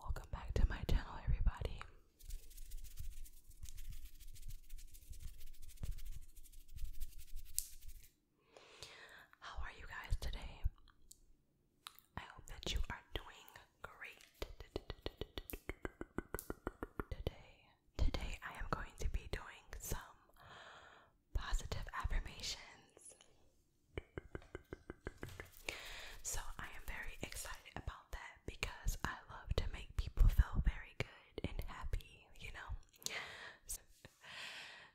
Welcome back to my channel, everybody. How are you guys today? I hope that you are doing great today. Today, I am going to be doing some positive affirmations. So, I am very excited about that because I love to make people feel very good and happy, you know?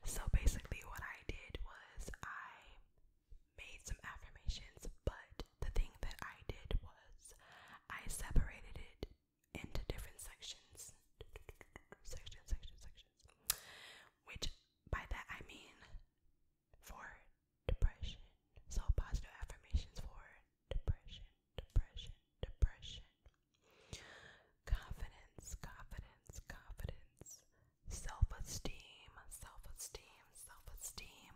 So, basically, what I did was I made some affirmations, but the thing that I did was I separated it into different sections. Sections, sections, sections. Which by that I mean for depression. So positive affirmations for depression, depression, depression. Confidence, confidence, confidence self esteem, self esteem, self esteem,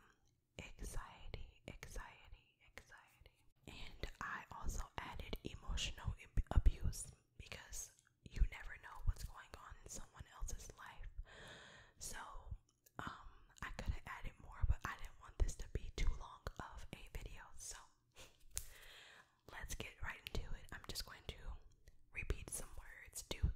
anxiety, anxiety, anxiety. And I also added emotional abuse because you never know what's going on in someone else's life. So, um, I could have added more, but I didn't want this to be too long of a video. So, let's get right into it. I'm just going to repeat some words, do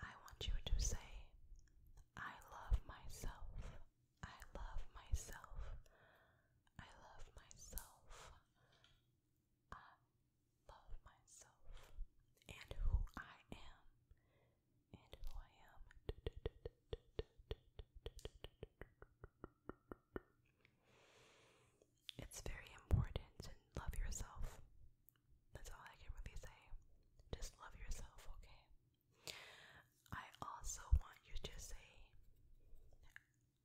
I want you to say, I love myself. I love myself. I love myself. I love myself. And who I am. And who I am. It's very important to love yourself. That's all I can really say. Just love yourself, okay? I also want you to say,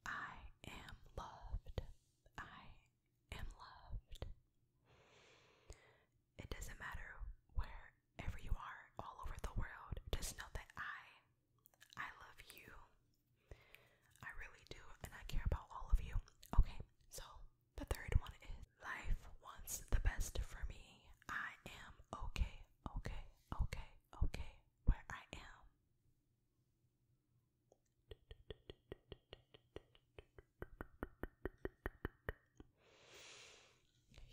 I am loved. I am loved. It doesn't matter wherever you are, all over the world, just know that I, I love you. I really do, and I care about all of you. Okay, so the third one is life wants the best for me. I am okay, okay, okay, okay, where I am.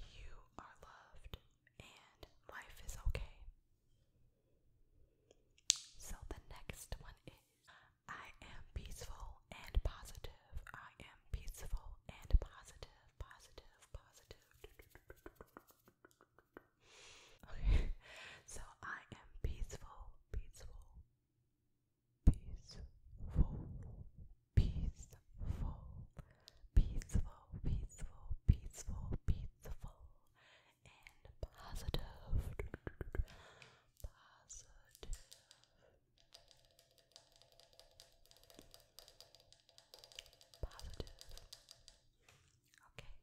You are loved and life is okay. So the next one is I am peaceful and positive. I am peaceful and positive, positive, positive. Okay, so I am peaceful, peaceful, peaceful, peaceful, peaceful, peaceful, peaceful, peaceful, and positive, positive. Positive. Okay.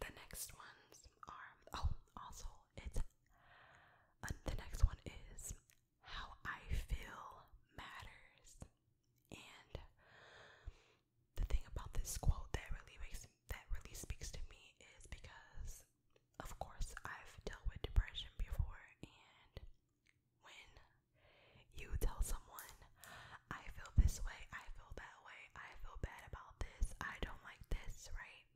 The next ones are oh, also it's uh, the next one is how I feel matters. And the thing about this quote that really makes that really speaks to me is because of course I've dealt with depression before and when you tell someone, I feel this way, I feel that way, I feel bad about this, I don't like this, right?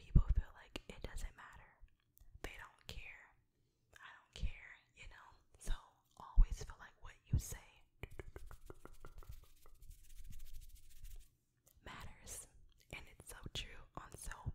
People feel like it doesn't matter. They don't care. I don't care, you know? So always feel like what you say matters. And it's so true on so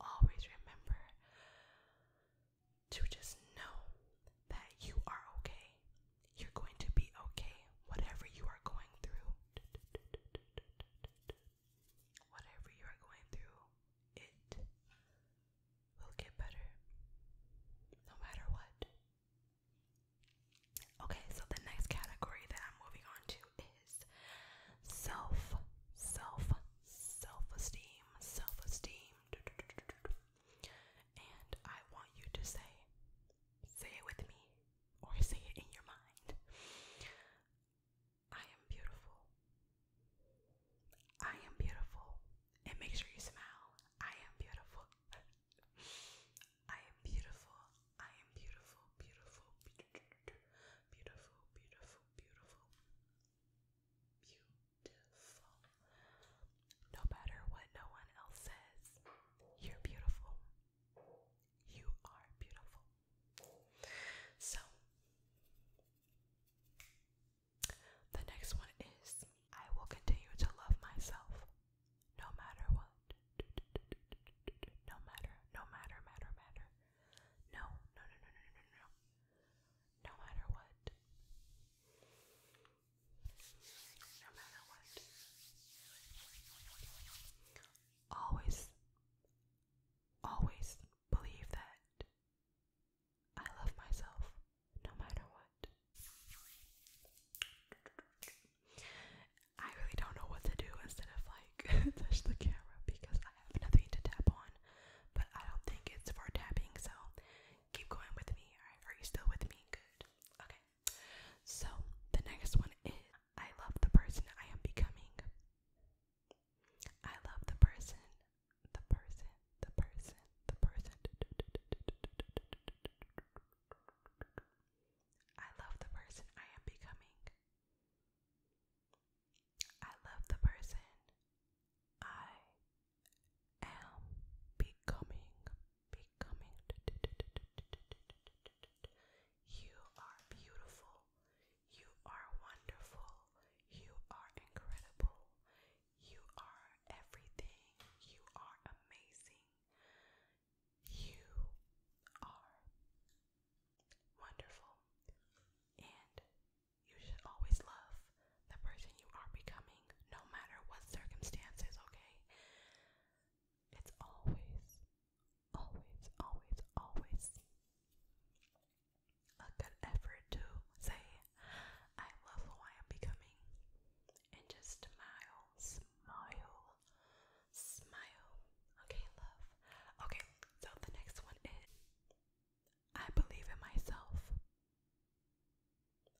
always remember to just know that you are okay. You're going to be okay, whatever you are going through. Whatever you are going through, it will get better no matter what. Okay, so the next category that I'm moving on to is self, self, self esteem self esteem. And I want you to say, say it with me, or say it in your mind. I am beautiful. I am beautiful. And make sure you smile. I am beautiful. I am beautiful. I am beautiful, beautiful, beautiful, beautiful, beautiful, beautiful beautiful. No matter what no one else says, you're beautiful. You are beautiful. So, the next one is I will continue to love myself no matter what. No matter, no matter, matter, matter. No, no, no, no, no, no, no matter what. No matter what. Always, always believe that I love myself no matter what. I really don't know what to do instead of like touch the camera because have nothing to tap on, but I don't think it's for tapping, so keep going with me. are you still with me? Good. Okay. So the next one is I love the person I am becoming. I love the person, the person, the person, the person. I love the person I am becoming. I love the person I am becoming. Becoming. You are beautiful. You are wonderful. You are incredible. You are everything. You are amazing. You are wonderful and you should always love the person you are becoming, no matter what circumstances, okay? It's always, always, always, always a good effort to say, I love who I am becoming, and just smile, smile, smile. Okay, love. Okay, so the next one is I believe in myself.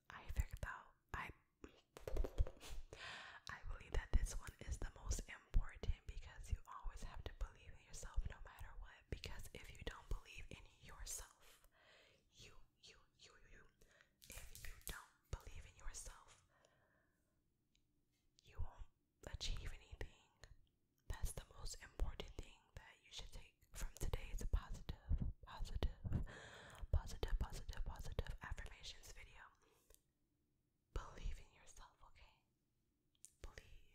I figured out I I believe that this one is the most important because you always have to believe in yourself no matter what. Because if you don't believe in yourself, you you you you if you don't believe in yourself, you won't achieve anything. That's the most important thing that you should take from today's positive, positive, positive, positive, positive affirmations video. Believe in yourself, okay? Believe,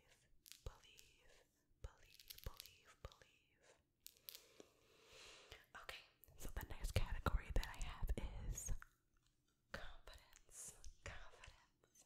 believe, believe, believe, believe. Okay, so the next category that I have is confidence, confidence,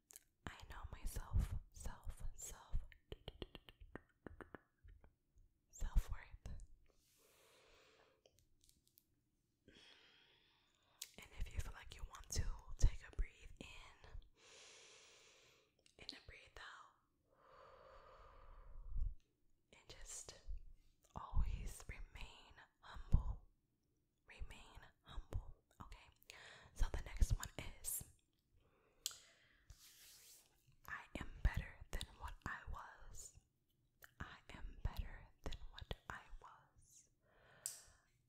I know myself, self, self, self worth. And if you feel like you want to, take a breathe in and a breathe out. And just always remain humble remain humble. Okay, so the next one is I am better than what I was. I am better than what I was.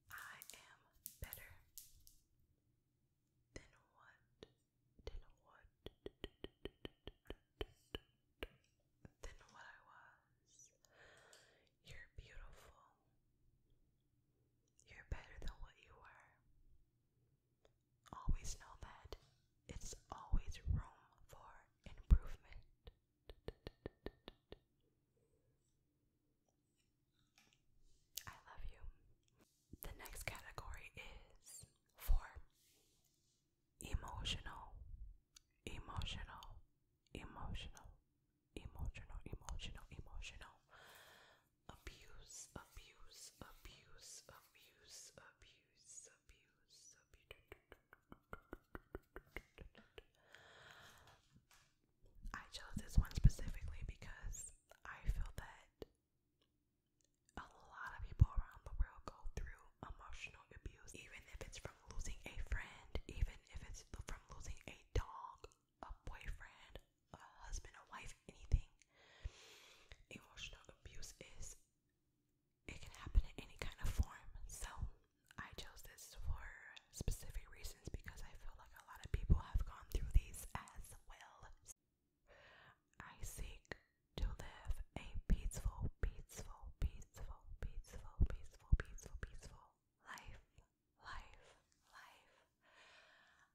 I am better than what than what than what I was. You're beautiful. You're better than what you were. Always know that it's always room for improvement. I love you. The next category is for emotional, emotional, emotional, emotional, emotional, emotional abuse, abuse, abuse, abuse, abuse, abuse, I chose this one specifically because I feel that a lot of people around the world go through emotional abuse, even if it's from losing a friend, even if it's from losing a dog, a boyfriend, a husband, a wife, anything. Emotional abuse is it can happen in any kind of form. So I chose this for specific reasons because I feel like a lot of people have gone through these as well. I seek to live a peaceful, peaceful, peaceful, peaceful, peaceful, peaceful, peaceful life life, life.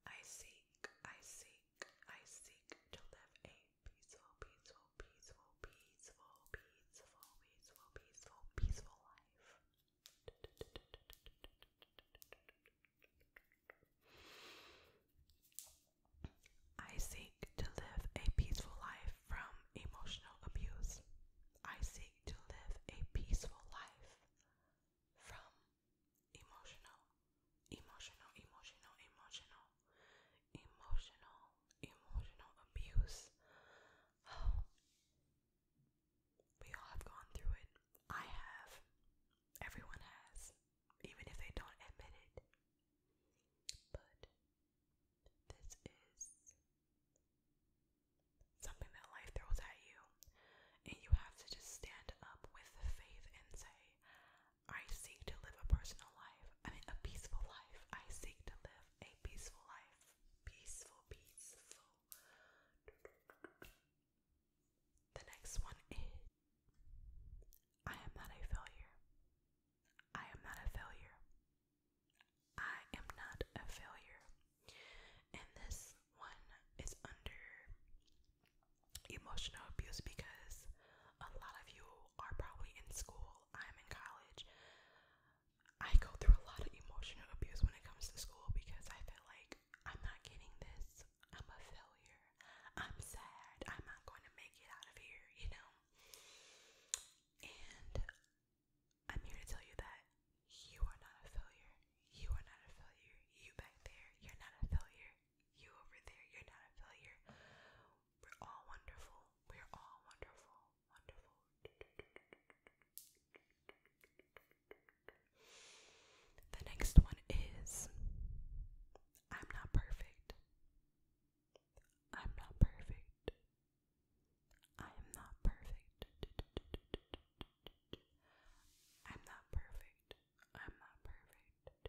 I seek, I seek, I seek to live a peaceful, peaceful, peaceful, peaceful, peaceful, peaceful, peaceful, peaceful life. I seek to live a peaceful life from emotional abuse. I seek to live a peaceful life from emotional, emotional, emotional, emotional, emotional, emotional abuse. we all have gone through it. I have. Everyone has, even if they don't admit it. But this is something that life throws at you, and you have to just stand up with faith and say, I seek to live a personal life, I mean, a peaceful life. I seek to live a peaceful life. Peaceful, peaceful. The next one is I am not a failure. I am not a failure. I am not a failure. And this one is under emotional abuse because a lot of you are probably in school. I'm in college. I go through a lot of emotional abuse when it comes to school because I feel like I'm not getting this. I'm a failure. I'm sad. I'm not going to make it out of here, you know? And I'm here to tell you that you are not a failure. You are not a failure. You back there, you're not a failure. You over there, you're not a failure. We're all wonderful. We're all wonderful. Wonderful. The next one is I'm not perfect. I'm not perfect. I am not perfect. I'm not perfect. I'm not perfect.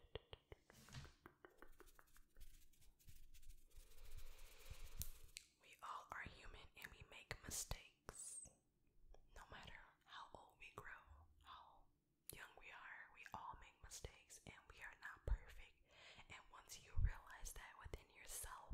We all are human and we make mistakes. No matter how old we grow, how young we are, we all make mistakes and we are not perfect. And once you realize that within yourself,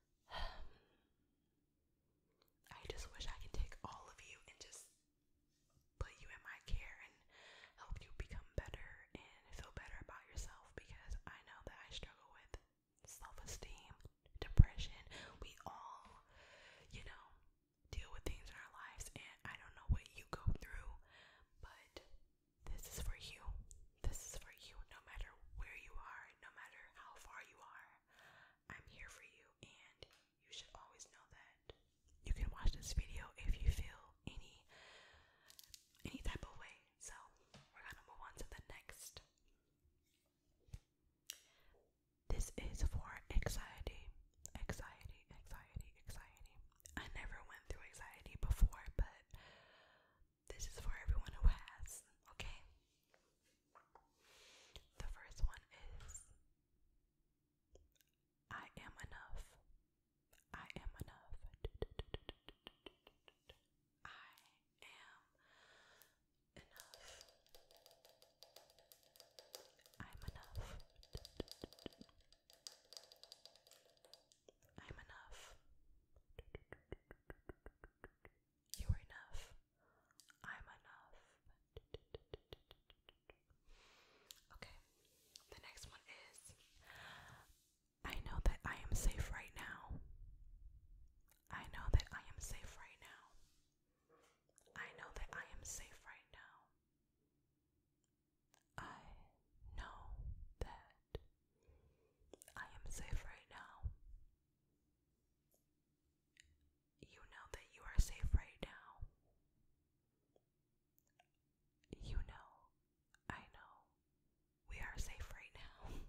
I just wish I could take all of you and just put you in my care and help you become better and feel better about yourself because I know that I struggle with self esteem, depression. We all, you know, deal with things in our lives, and I don't know what you go through, but this is for you. This is for you no matter where you are, no matter how far you are. I'm here for you, and you should always know that. You can watch this video if you feel any any type of way. So we're gonna move on to the next. This is for anxiety. Anxiety, anxiety, anxiety. I never went through anxiety before, but this is for everyone who has, okay? The first one is I am enough. I am enough. I am enough. I'm enough. I'm enough. You are enough. I'm enough. Okay, the next one is I know that I am safe right now. I know that I am safe right now. I know that I am safe right now. I know that I am safe right now. You know that you are safe right now. You know, I know, we are safe right now.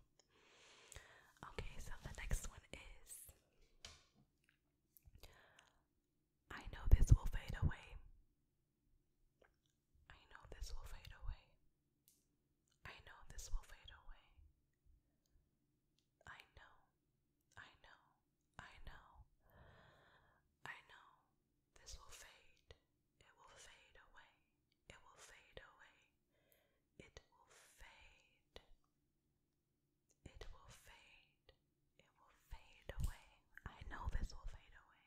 okay, so the next one is I know this will fade away. I know this will fade away. I know this will fade away. I know, I know, I know, I know this will fade. It will fade away. It will fade away. It will fade. It will fade. It will fade away. I know this will fade away.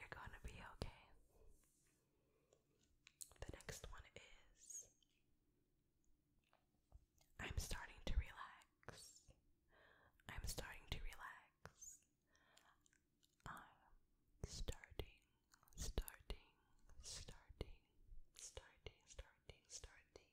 You're gonna be okay. The next one is I'm starting to relax. I'm starting to relax. I'm starting, starting, starting, starting, starting, starting,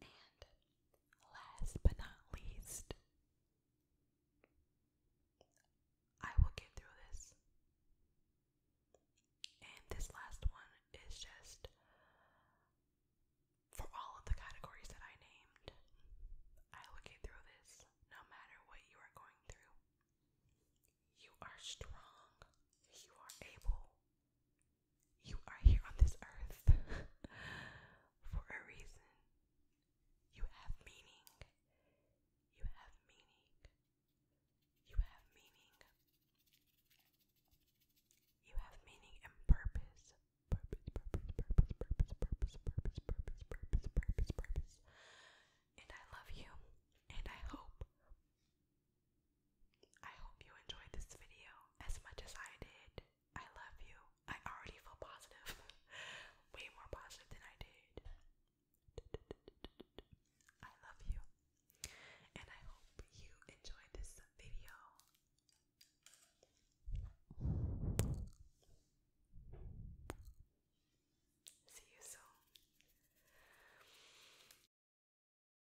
And last but not least, I will get through this. And this last one is just for all of the categories that I named. I will get through this no matter what you are going through. You are strong, you are able, you are here on this earth for a reason. You have meaning. You have meaning. You have meaning. You have meaning and purpose. Purpose, purpose, purpose, purpose, purpose, purpose, purpose, purpose, purpose, purpose. And I love you. And I hope I hope you enjoyed this video as much as I did. I love you. I already feel positive. Way more positive than I did. I love you. And I hope you enjoyed this video. See you soon.